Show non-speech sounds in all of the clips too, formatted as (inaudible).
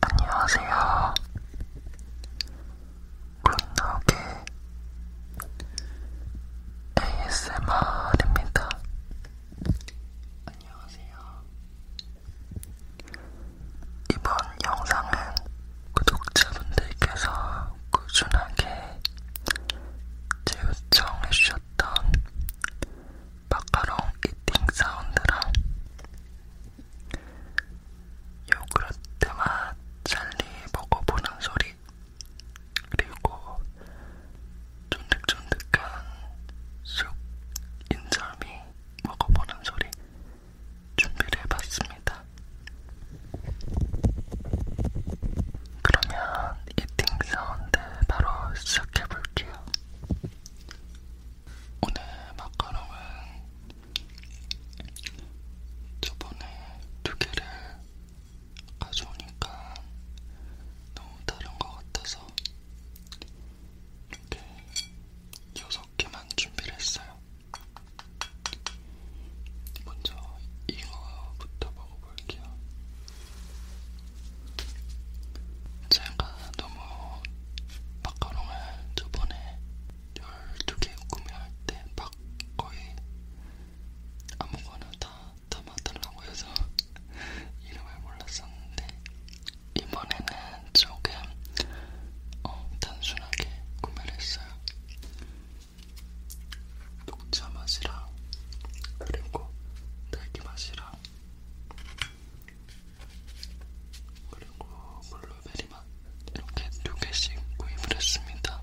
안녕하세요. 굿노게 ASMR입니다. 안녕하세요. 이번 영상은 구독자분들께서 꾸준하게 제 요청해주셨던 마카롱 이팅 사운드랑 요구르트 맛 젤리 먹어보는 소리 그리고 쫀득쫀득한 쑥 인절미 먹어보는 소리 준비를 해봤습니다. 그러면 이팅 사운드 바로 시작해볼게요. 오늘 마카롱은 저번에 두 개를 가져오니까 너무 다른 것 같아서 이렇게 여섯 개만 준비를 했어요. 먼저 이거부터 먹어볼게요. 제가 너무 마카롱을 저번에 12개 구매할 때막 거의 아무거나 다 담아달라고 해서 (laughs) 이름을 몰랐었는데 이번에는 조금 어, 단순하게 구매를 했어요. 녹차 맛이랑 그리고 딸기 맛이랑 그리고 블루베리 맛 이렇게 두 개씩 구입을 했습니다.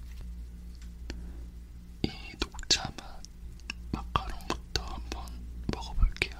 이 녹차 맛 마카롱부터 한번 먹어볼게요.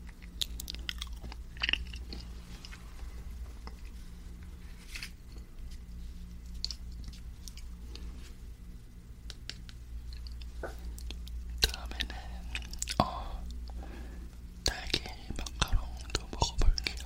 다음에는 어, 딸기 마카롱도 먹어볼게요.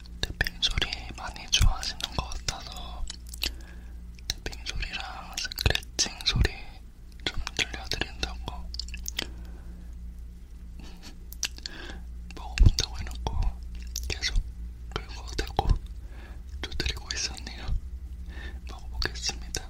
탭핑 소리 많이 좋아하시는 것 같아서 탭핑 소리랑 스크래칭 소리 좀 들려드린다고 (laughs) 먹어본다고 해놓고 계속 긁어대고 두드리고 있었네요. (laughs) 먹어보겠습니다.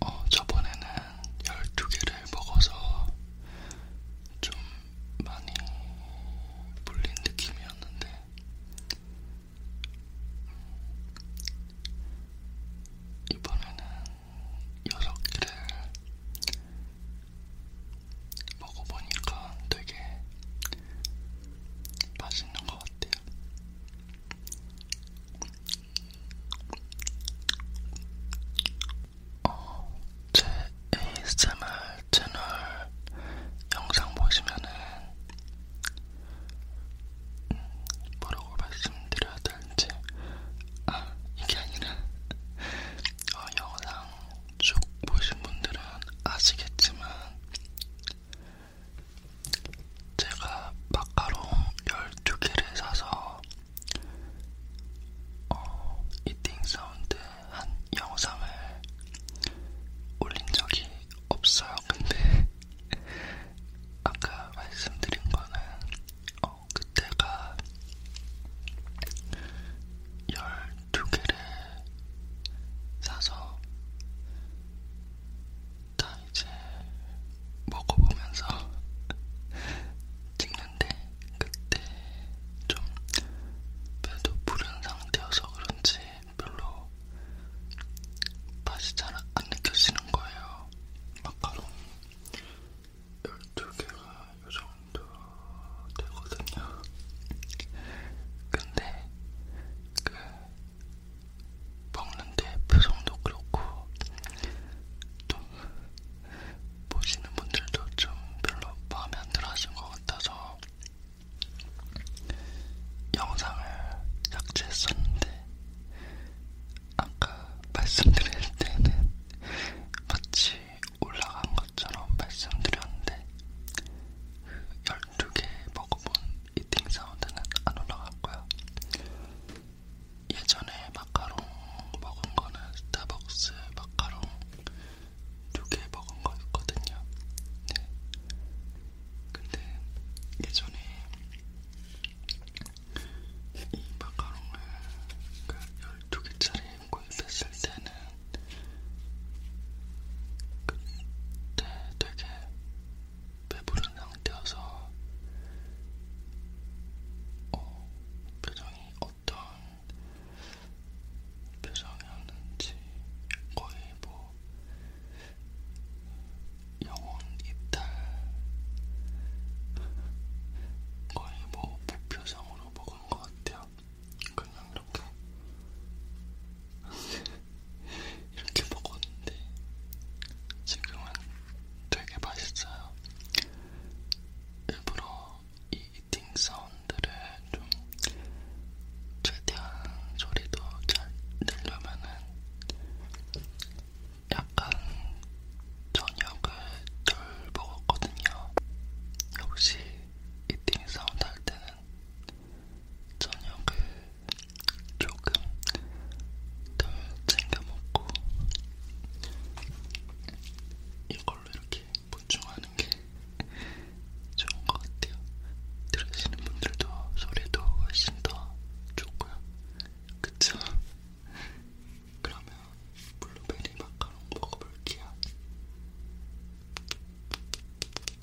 어, 저번에는 12개를 먹어서 좀 많이 불린 느낌이었는데, 이번에는 6개를 먹어보니까 되게 맛있는 것 같아요. 어, 제 ASMR 채널 영상 보시면은 음, 뭐라고 말씀드려야 될지 아 이게 아니라 어, 영상 쭉 보신 분들은 아시겠지만 제가 마카롱 12개를 사서 어, 이팅 사운드 한 영상을 올린 적이 없어요. 근데 (laughs) 아까 말씀드린 거는 어, 그때가 두 개를 사서 다 이제 먹어보면서 찍는데 그때 좀 배도 부른 상태여서 그런지 별로 맛이 잘 안 느껴지는 거예요. 마카롱 12개가 이 정도 되거든요. 근데 그 먹는데 표정도 그렇고 또 보시는 분들도 좀 별로 마음에 안 들어 하신 것 같아서 영상을 삭제했었는데 아까 말씀드릴 때는 마치 올라간 것처럼 말씀드렸는데 그 두개 먹어본 이팅 사운드는 안 올라갔고요. 예전에 마카롱 먹은 거는 스타벅스 마카롱 두 개 먹은 거 있거든요. 네. 근데 예전에 이 마카롱을 그 12개짜리 구입했을 때는 그때 되게 배부른 상태여서 어, 표정이 어떤 표정이었는지 거의 뭐 영혼 이탈 거의 뭐 무표정으로 먹은 것 같아요. 그냥 이렇게 (laughs) 이렇게 먹었는데 지금은 되게 맛있어요. 일부러 이 이팅 사운드를 좀 최대한 소리도 잘 내려면은 약간 저녁을 덜 먹었거든요. 역시 이팅 사운드 할 때는 저녁을 조금 덜 챙겨 먹고 이걸로 이렇게 보충하는 게 좋은 것 같아요. 들으시는 분들도 소리도 훨씬 더 좋고요. 그쵸? 그러면 블루베리 마카롱 먹어볼게요.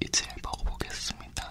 이제 먹어보겠습니다.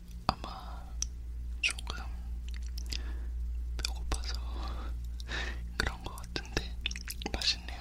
아마 조금 배고파서 (laughs) 그런 것 같은데 맛있네요.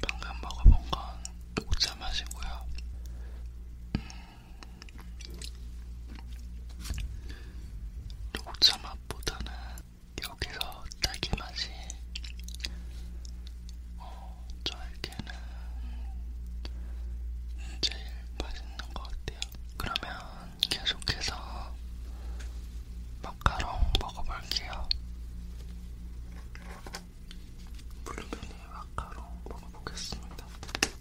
방금 먹어본 건 녹차 맛이고요. 음, 녹차 맛보다는 여기서 딸기 맛이 어, 저에게는 제일 맛있는 것 같아요. 그러면 계속해서 마카롱 먹어볼게요. 블루베리 마카롱 먹어보겠습니다.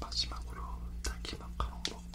마지막으로 딸기 마카롱 먹어볼게요.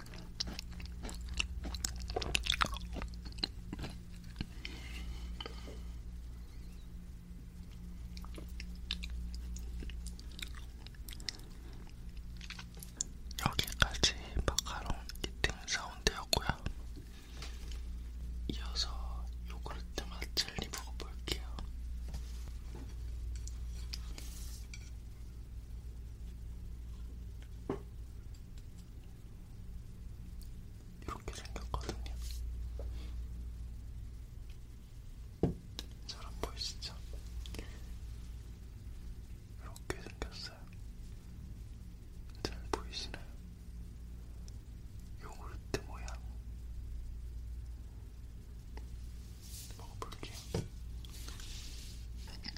여기까지 마카롱 이팅 사운드였고요. 이어서 요구르트 맛 젤리 먹어볼게요. 이렇게 생겼거든요. 잘안 보이시죠? 이렇게 생겼어요. 잘 보이시나요? 요구르트 모양. 먹어볼게요.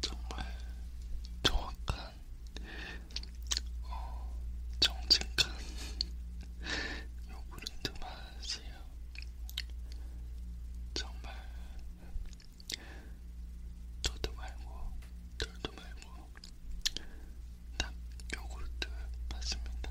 정말 정확한, 어, 정직한 요구르트 (laughs) 맛이에요. 정말 저도 말고 들도 말고 딱 요구르트 맞습니다.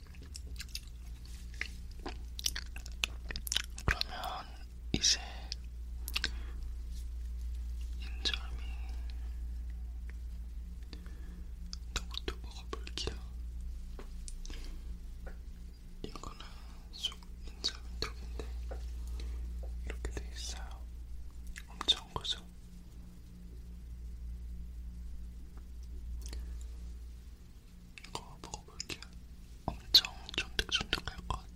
그러면 이제 인절미 떡도 먹어볼게요. 이거는 쑥 인절미 떡인데 이렇게 돼 있어요. 엄청 크죠? 이거 먹어볼게요. 엄청 쫀득쫀득할 것 같아요.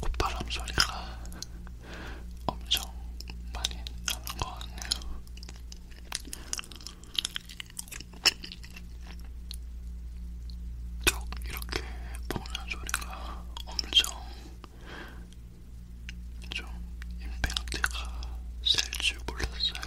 콧바람 소리가 엄청 많이 나는 것 같네요. 쭉 이렇게 보는 소리가 엄청 좀 임팩트가 셀줄 몰랐어요.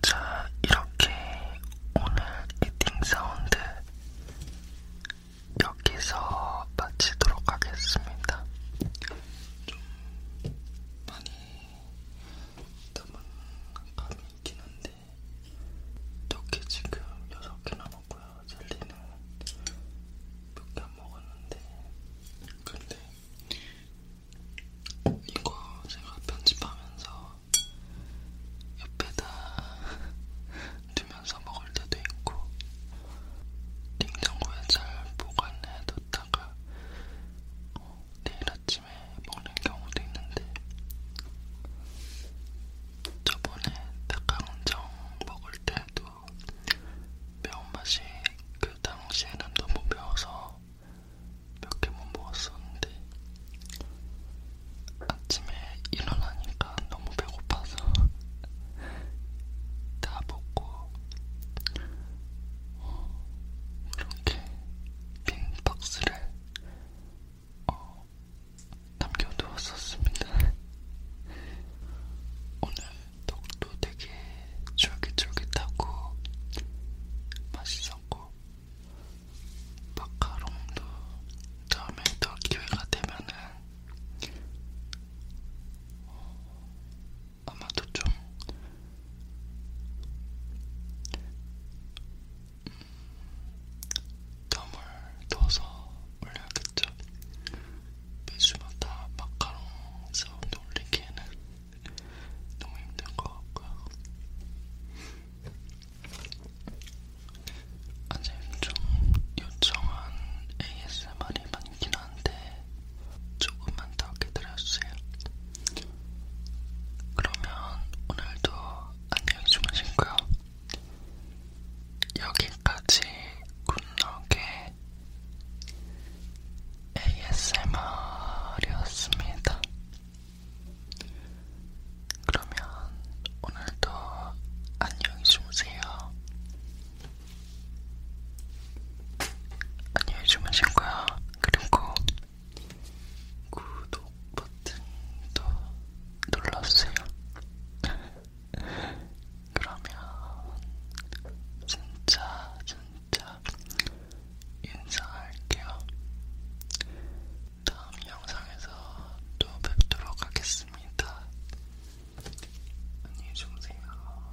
자, 이렇게 오늘 이팅 사운드 여기서 마치도록 하겠습니다. 좀 많이 남은 감이 있긴 한데 떡이 지금 6개나 먹고요. 젤리는 몇개안 먹었는데 근데 이거 제가 편집하면서 옆에다 (laughs) 두면서 먹을 때도 있고 냉장고에 잘 보관해뒀다가 어, 내일 아침에 먹는 경우도 있는데 저번에 닭강정 먹을 때도 매운맛이 그 당시에는 너무 매워서 몇개못 먹었었는데 아침에 일어나니까 너무 배고파서 (laughs) 다 먹고 어, 이렇게 빈 박스를 어, 남겨두었었습니다. 오늘 덕도 되게 쫄깃쫄깃하고 맛있었고 마카롱도 다음에 더 기회가 되면은 어, 아마도 좀 덤을 넣어서 올려야겠죠. 매주마다 마카롱 사운드 올리기에는 너무 힘든 것 같고요. 아직 좀 요청한 ASMR이 많긴 한데 조금만 더 기다려주세요. 그러면 오늘도 안녕히 주무시고요. 여기까지 굿럭의 ASMR이었습니다. 그러면 오늘도 안녕히 주무세요. 안녕히 주무신 거야. 그리고 구독 버튼도 눌러주세요. (laughs) 그러면 진짜 진짜 인사할게요. 다음 영상에서 또 뵙도록 하겠습니다. 안녕히 주무세요.